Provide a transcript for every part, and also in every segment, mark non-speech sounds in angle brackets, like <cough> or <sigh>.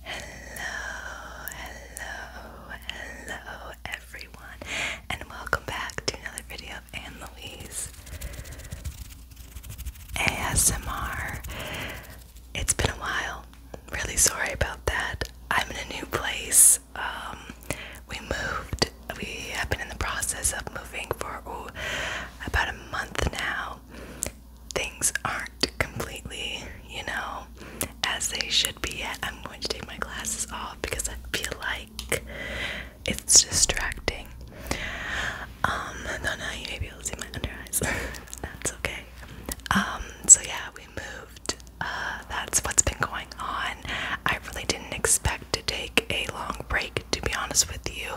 Hello, hello, hello everyone, and welcome back to another video of Louise ASMR. It's been a while. Really sorry about that. I'm in a new place. Um, we moved. We have been in the process of moving for about a month now things aren't completely, you know, as they should be I'm going to take my glasses off because I feel like it's distracting. Um, though now you may be able to see my under eyes. <laughs> That's okay. Um, so yeah, we moved. Uh, that's what's been going on. I really didn't expect to take a long break to be honest with you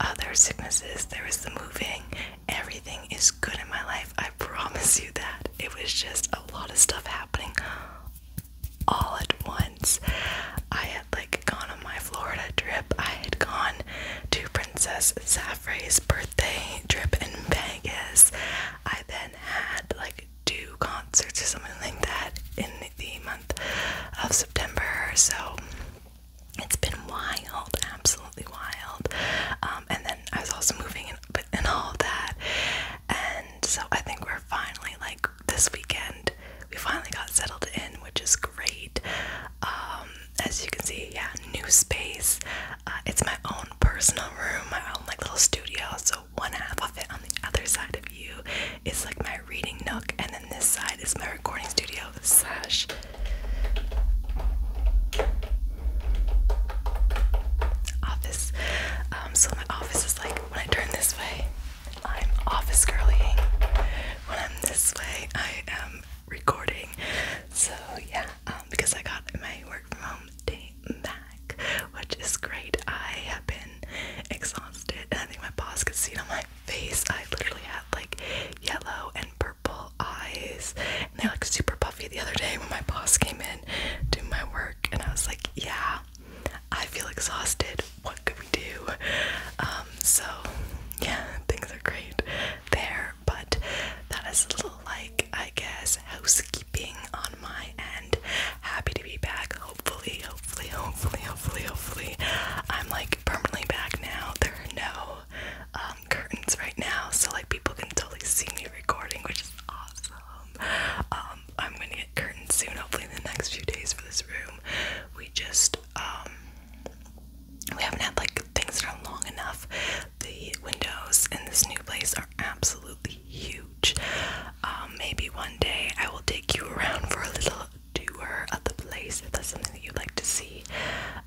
uh, there are sicknesses there is the moving everything is good in my life i promise you that it was just a lot of stuff happening all at once i had like gone on my florida trip i had gone to princess saffrey's birthday trip in vegas i then had like two concerts or something like that in the month of september so it's been wild, absolutely wild. Um, and then I was also moving and, and all that. And so I think we're finally, like, this weekend, we finally got settled in, which is great. Um, as you can see, yeah, new space. Uh, it's my own personal room, my own, like, little studio. So one half of it on the other side of you is, like, my reading nook, and then this side is my recording studio slash. Office. Um, so my office is like when I turn this way, I'm office girlying. When I'm this way, I am recording. So yeah, um, because I got my work from home day back, which is great. I have been exhausted, and I think my boss could see it on my face. I literally have like yellow and purple eyes and they're like super puffy the other day when my boss came in to my work and I was like yeah I feel exhausted what could we do um so yeah things are great there but that is a little like I guess housekeeping on my end happy to be back hopefully hopefully hopefully hopefully hopefully I'm like permanently back now no um, curtains right now, so like people can totally see me recording, which is awesome. Um, I'm gonna get curtains soon, hopefully in the next few days for this room. We just um, we haven't had like things that are long enough. The windows in this new place are absolutely huge. Um, maybe one day I will take you around for a little doer at the place. If that's something that you'd like to see,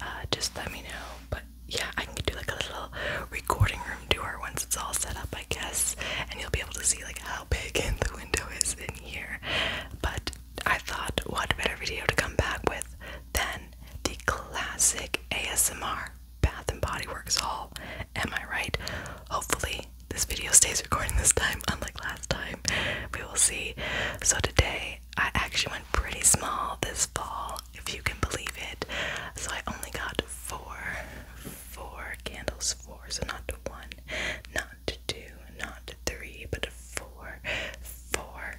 uh, just let me know. But yeah, I can do like a little recording room tour once it's all set up, I guess, and you'll be able to see like how big <laughs> the window is in here. But I thought, what better video to come back with than the classic ASMR Bath and Body Works haul? Am I right? Hopefully, this video stays recording this time, unlike last time. We will see. So, today I actually went pretty small this fall, if you can believe it. So I only got four, four candles, four. So not one, not two, not three, but four, four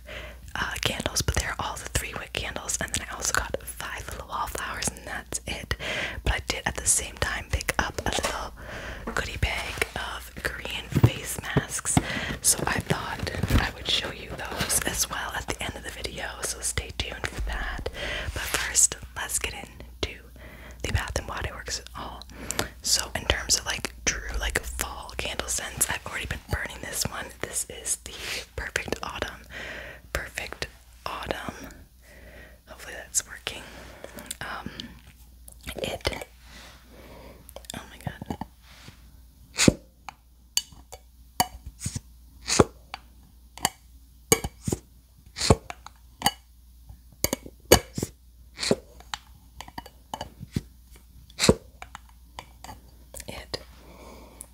uh, candles. But they're all the three-wick candles, and then I also got five little wallflowers, and that's it. But I did at the same time pick up a little goodie bag. of. Korean face masks, so I thought I would show you those as well at the end of the video, so stay tuned for that. But first, let's get into the Bath and Body Works at all. So in terms of like true like fall candle scents, I've already been burning this one. This is the perfect autumn. Perfect autumn. Hopefully that's working. Um it Oh my god.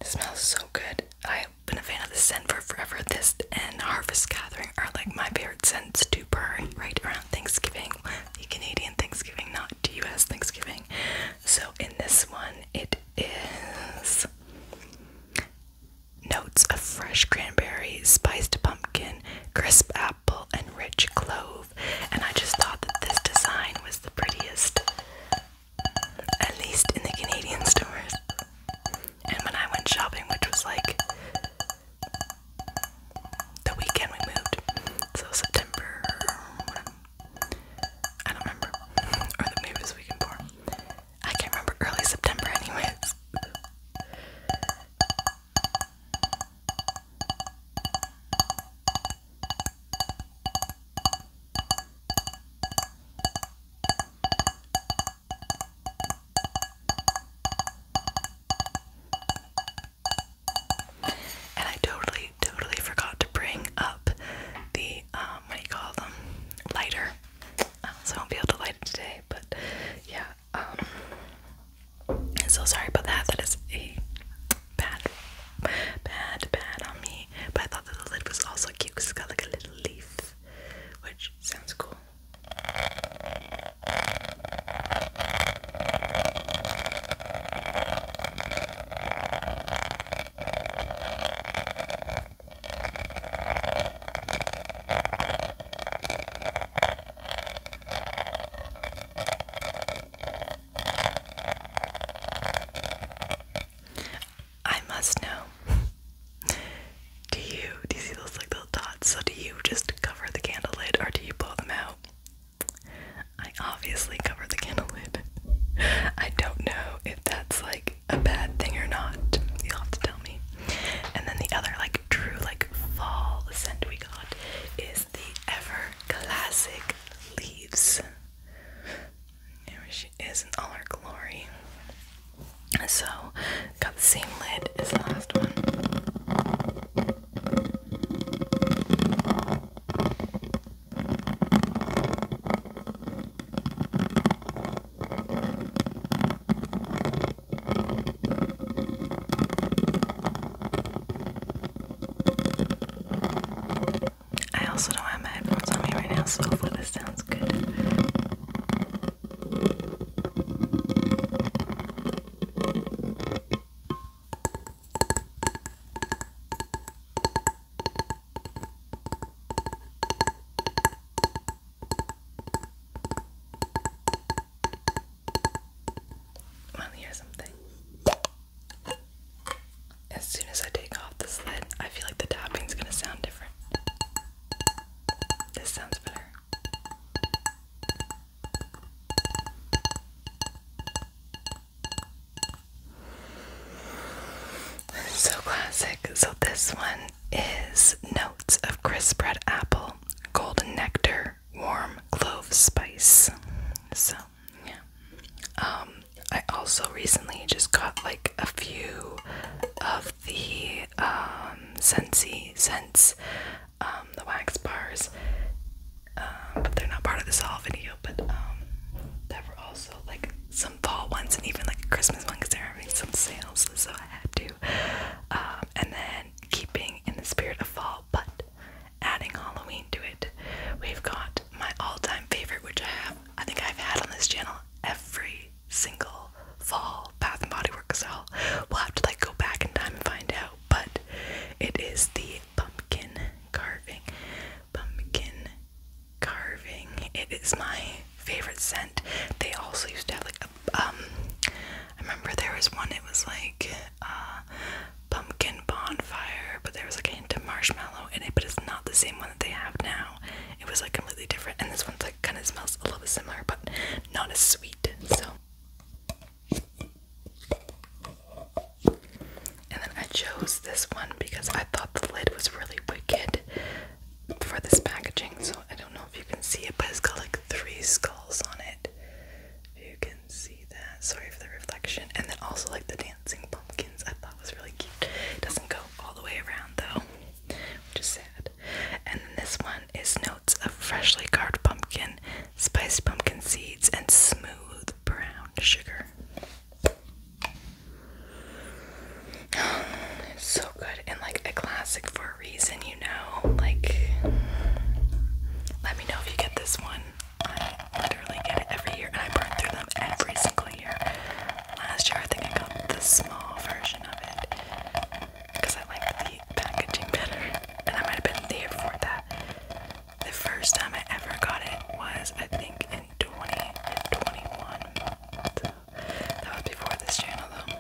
It smells so good. I've been a fan of this scent for forever. This and Harvest Gathering are like my favorite scents to burn right around Thanksgiving the Canadian Thanksgiving, not US Thanksgiving. So in this one, it is notes of fresh cranberry, spiced pumpkin, crisp apple, and rich clove. And I just thought that this design was the prettiest, at least in the Canadian stores. And when I went shopping, which was like the weekend we moved. So September, I don't remember. Or the, maybe was weekend I can't remember. Early September, anyways. And I totally, totally forgot to bring up the um, what do you call them? Lighter. Uh, so I won't be able to light it today, but yeah. Um, so sorry about that. That is a bad, bad, bad on me. But I thought that the lid was also cute because it's got like a little leaf, which sounds cool. I must know. <laughs> do you do you see those like little dots? So do you just cover the candle lid or do you blow them out? I obviously cover the candle lid. I don't know if that's like a bad thing or not. You'll have to tell me. And then the other like true like fall scent we got is the ever classic leaves. There she is in all her glory. So got the same lid as the last one. I also don't have my headphones on me right now, so hopefully this sounds good. Let me something. As soon as I take off the lid, I feel like the tapping is gonna sound different. This sounds better. So classic. So this one is notes of crisp red apple, golden nectar, warm clove spice. So Um, I also recently just got like a few of the um Scentsy scents um, the wax bars, um, but they're not part of this haul video. But um, there were also like some fall ones and even like a Christmas one because they're some sales, so I had to. and then keeping in the spirit of fall, but adding Halloween to it, we've got my all-time favorite, which I have. I think I've had on this channel every single fall Bath and Body Works haul. We'll have to like go back in time and find out but it is the pumpkin carving. Pumpkin carving. It is my favorite scent. They also used to have like a um I remember there was one it was like uh pumpkin bonfire, but there was like a marshmallow in it, but it's not the same one that they have now. It was like completely different and this one's like kinda smells a little bit similar but not as sweet. So and then I chose this one because I thought the lid was really wicked for this packaging. So I don't know if you can see it, but it's got like three skulls on it. you can see that. Sorry for the reflection. And then also like the dancing pumpkins I thought was really cute. It doesn't go all the way around though, which is sad. And then this one is notes of freshly carved pumpkin, spiced pumpkin seeds, and smooth brown sugar. <sighs> so good and like a classic for a reason, you know. Like, let me know if you get this one. I literally get it every year, and I burn through them every single year. Last year, I think I got the small version of it because I like the packaging better. And I might have been there for that. The first time I ever got it was, I think, in 2021. So that was before this channel, though.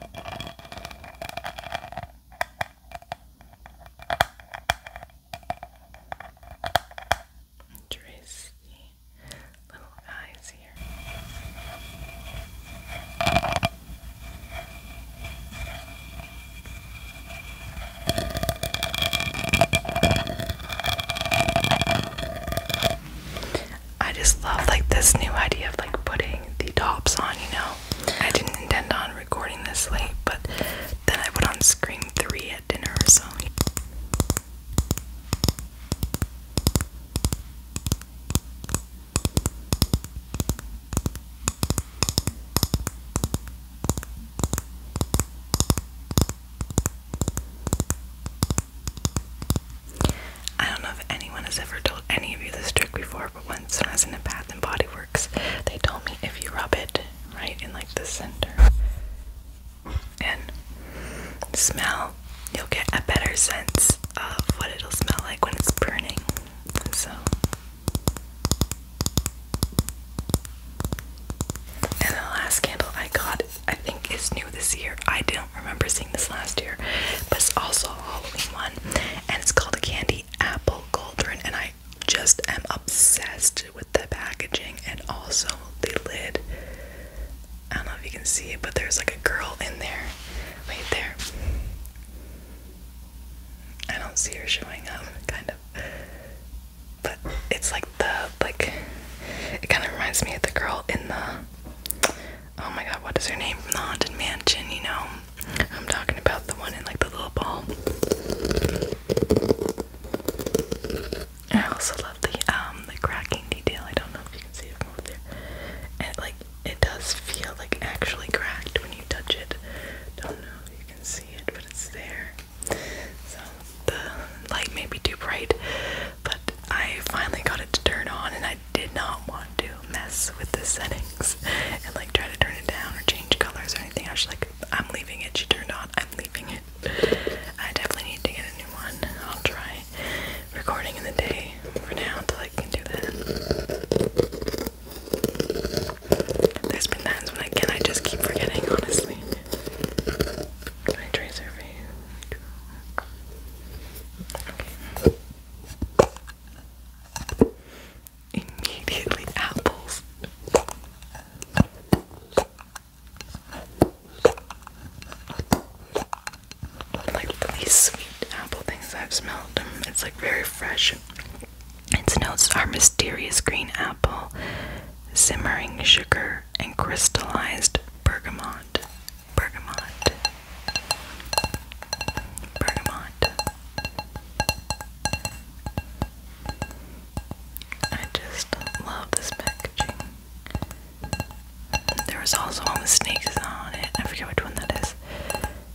Tracy, little eyes here. I just love like this new idea of like putting the tops on, you know. I didn't intend on recording this late, but then I put on screen 3 at dinner, so I don't know if anyone has ever told any of you this trick before, but once I was in a Bath and Body Works, they told me if you rub it right in like the center and smell, you'll get a better sense of what it'll smell like when it's burning. so and the last candle I got, I think is new this year. I don't remember seeing this last year, but it's also a Halloween one. And it's called a Candy Apple Cauldron. And I just am obsessed with the packaging and also the lid. I don't know if you can see it, but there's like a girl in there. Right there. I don't see her showing up, kind of. But it's like the like it kind of reminds me of the girl in the oh my god, what is her name? From the Haunted Mansion, you know. I'm talking about the one in like the little ball. I also love the um the cracking detail. I don't know if you can see it from over there. And like it does feel like actually cracked when you touch it. Don't know if you can see it, but it's there. So the light may be too bright, but I finally got it to turn on, and I did not want to mess with the settings and like try to turn it down or change colors or anything. I was like, I'm leaving it. She turned on. I'm leaving it. I definitely need to get a new one. I'll try recording in the day for now until I can do that. There's when I can I just keep forgetting, honestly. My tracer for you. Immediately apples. Like the sweet apple things I've smelled. It's like very fresh. Its notes are mysterious green apple, simmering sugar, and crystallized bergamot. Bergamot. Bergamot. I just love this packaging. There was also one with snakes on it. I forget which one that is.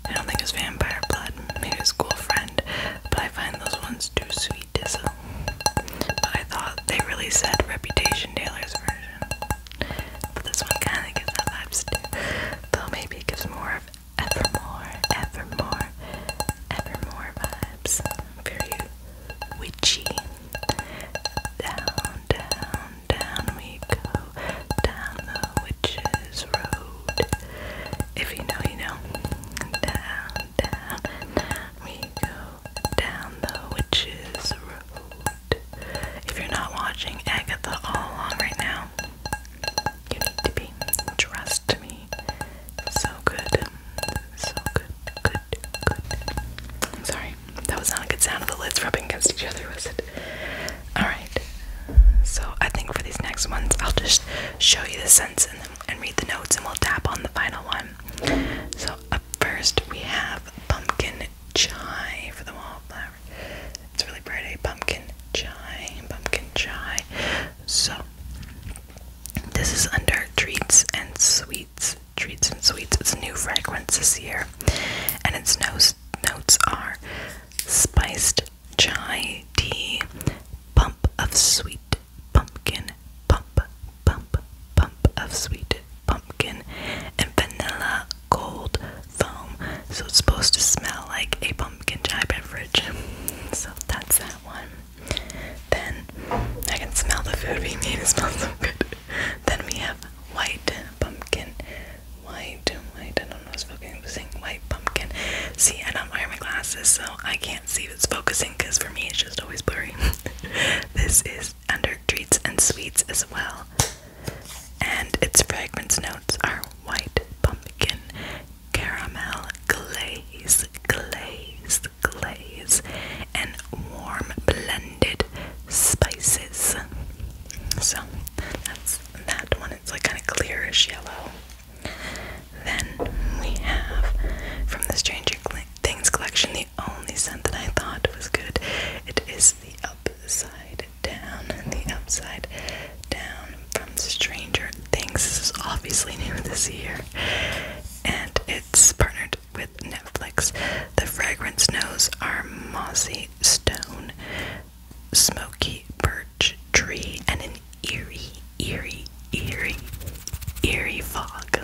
I don't think it's vampire blood. Maybe it's cool friend, but I find those ones too sweet. So, but I thought they really said Reputation Taylor's version. But this one kind of gives that vibes too. Though maybe it gives more of evermore, evermore, evermore vibes. Very witchy. Down, down, down we go. Down the Witches Road. If you know, you know. Down, down, down we go. Down the Witches Road. If you're not watching Agatha all along right now, you need to be. Trust me. So good. So good. Good. Good. sorry. That was not a good sound of the lids rubbing against each other, was it? Alright, so I think for these next ones, I'll just show you the scents and read the notes, and we'll tap on the final one. So, first, we have pumpkin chai for the wallflower. It's really pretty. Pumpkin chai, pumpkin chai. So, this is under treats and sweets. Treats and sweets. It's a new fragrance this year, and its notes notes are spiced chai tea, pump of sweet pumpkin, pump, pump, pump of sweet pumpkin, and vanilla gold foam. So it's supposed to smell like a pumpkin chai beverage. So that's that one. Then I can smell the food being made, it smells so good. Then we have white pumpkin, white, white, I don't know if it's focusing, white pumpkin. See, I don't wear my glasses, so I can't see if it's focusing because for me it's just always blurry. <laughs> this is under treats and sweets as well. And its fragrance notes are white pumpkin, caramel glaze, glaze, glaze, and warm blended spices. So that's that one. It's like kind of clearish yellow. Then we have from the Stranger Things collection the only scent that I thought was good. It is the Upside Down. The Upside Down from Stranger Things. This is obviously new this year. And it's partnered with Netflix. The fragrance notes are mossy stone smoky birch tree and an eerie, eerie, eerie, eerie fog.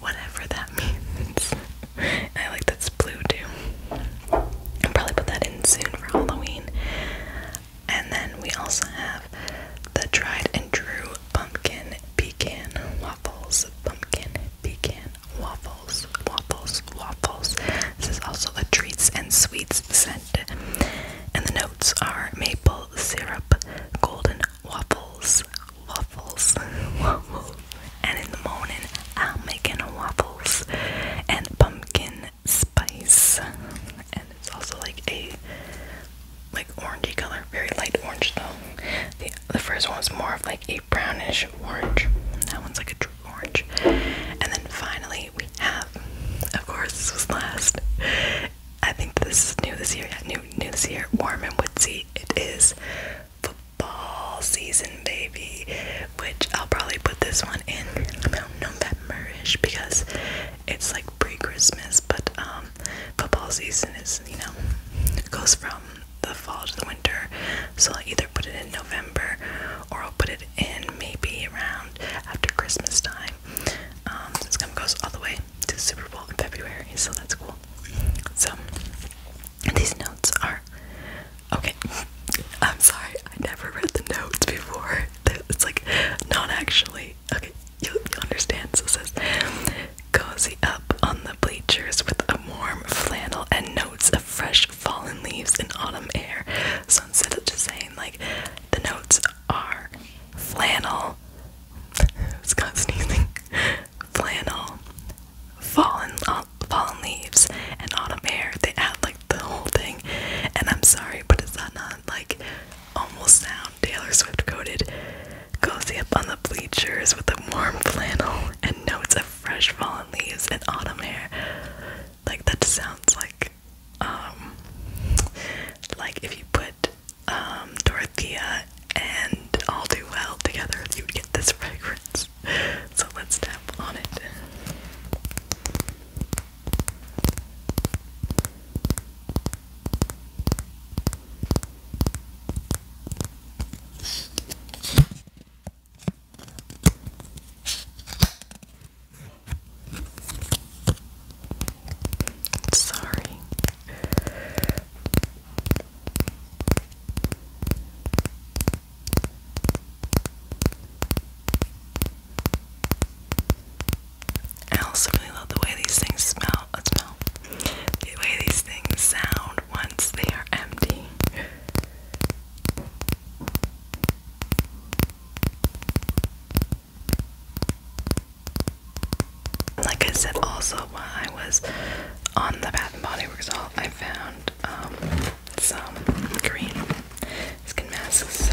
Whatever that <laughs> means. I like that's blue too. I'll probably put that in soon for Halloween. And then we also have the tried and true pumpkin pecan waffles. Pumpkin pecan waffles waffles, waffles, This is also a treats and sweets scent. And the notes are maple syrup, golden waffles, waffles, <laughs> waffles. And in the morning, I'm making waffles and pumpkin spice. And it's also like a like orangey color, very light orange though. The, the first was more of like a brownish orange. That one's like a orange. And then finally, we have, of course, this was last. I think this is new this year. Yeah, new, new this year. Warm and woodsy. It is football season, baby. Which I'll probably put this one in about because it's like pre-Christmas. But um, football season is, you know, goes from the fall to the winter. So I'll either put it in November or I'll put it and maybe around after Christmas time. this um, gum goes all the way to Super Bowl in February, so that's cool. So these notes are okay. <laughs> I'm sorry, I never read the notes before. <laughs> It's like not actually okay. you understand. So it says, cozy up on the bleachers with a warm flannel and notes of fresh fallen leaves in autumn air. So instead of just saying like the notes are flannel, <laughs> it's got sneezing, <laughs> flannel, fallen uh, fallen leaves, and autumn air, they add like the whole thing. And I'm sorry, but is that not like almost sound Taylor Swift coated? Cozy up on the bleachers with a warm flannel and notes of fresh fallen leaves and autumn air like that sounds like um, like if you put um, Dorothea and All Too Well together you would get this <laughs> fragrance. So let's tap on it. Sorry. I also really love the way these things smell. Uh, smell. The way these things sound once they are empty. Like I said, also while I was on the Bath and Body Works haul, I found um, some green skin masks. So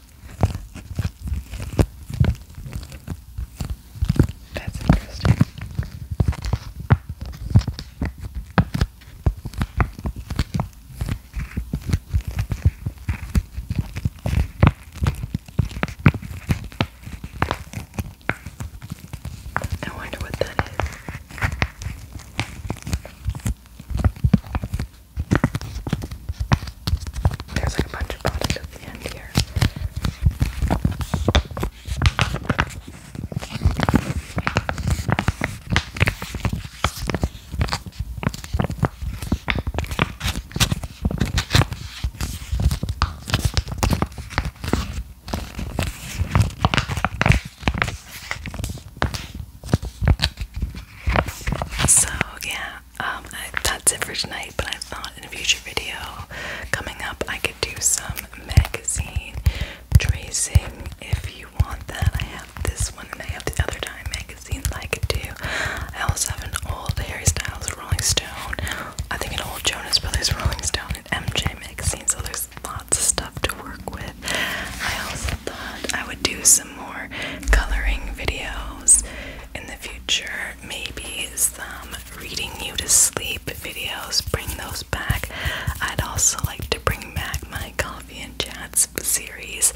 That's interesting. I wonder what that is. There's like a bunch of product at the end here. So, yeah, um, that's it for tonight. But I thought in a future video coming up, I could do some magazine tracing if you want that. I have this one and I have the other Time magazine I could do. I also have an old Harry Styles Rolling Stone, I think an old Jonas Brothers Rolling Stone, and MJ magazine. So there's lots of stuff to work with. I also thought I would do some more coloring videos in the future future, maybe some reading you to sleep videos, bring those back. I'd also like to bring back my coffee and chats series.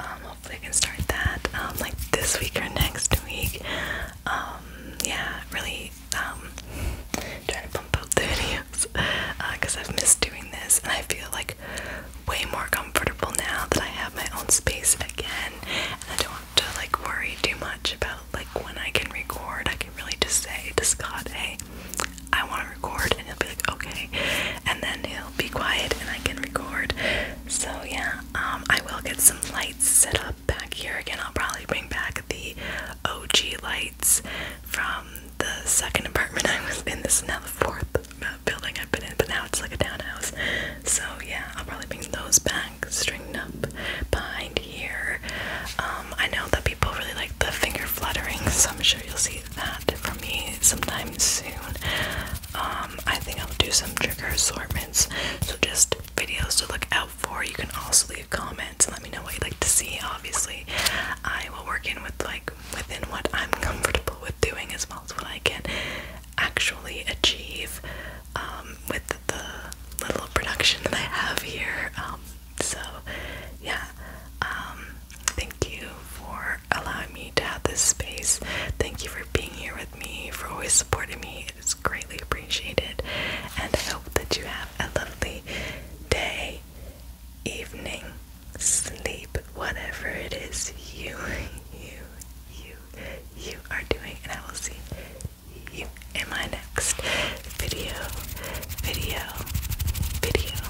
Um, hopefully, I can start that um, like this week or next week. Um, yeah, really um, trying to pump out the <laughs> videos because uh, I've missed doing this and I feel like way more comfortable now that I have my own space again and I don't have to like worry too much about like when I can record. I can really just say to Scott, hey, I want to record, and he'll be like, okay, and then he'll be quiet and I can record. So yeah, um, I will get some lights set up back here again. I'll probably bring back the OG lights from the second apartment <laughs> I was in. This is now the fourth uh, building I've been in, but now it's like a townhouse. So yeah, I'll probably bring those back, stringed up behind here. Um, I know that people really like the finger fluttering, so I'm sure you'll see that from me sometime soon. Um, I think I'll do some trigger assortments, so just videos to look out for. You can also leave comments and let me know what you'd like to see. Obviously, I will work in with like within what I'm comfortable with doing as well as what I can actually achieve um, with the little production that I have here. Um, so, yeah, um, thank you for allowing me to have this space. Thank you for being here with me, for always supporting me. It is greatly appreciated. And I hope that you have a lovely day, evening, sleep, whatever it is you, <laughs> you, you you you are doing and I will see you in my next video video video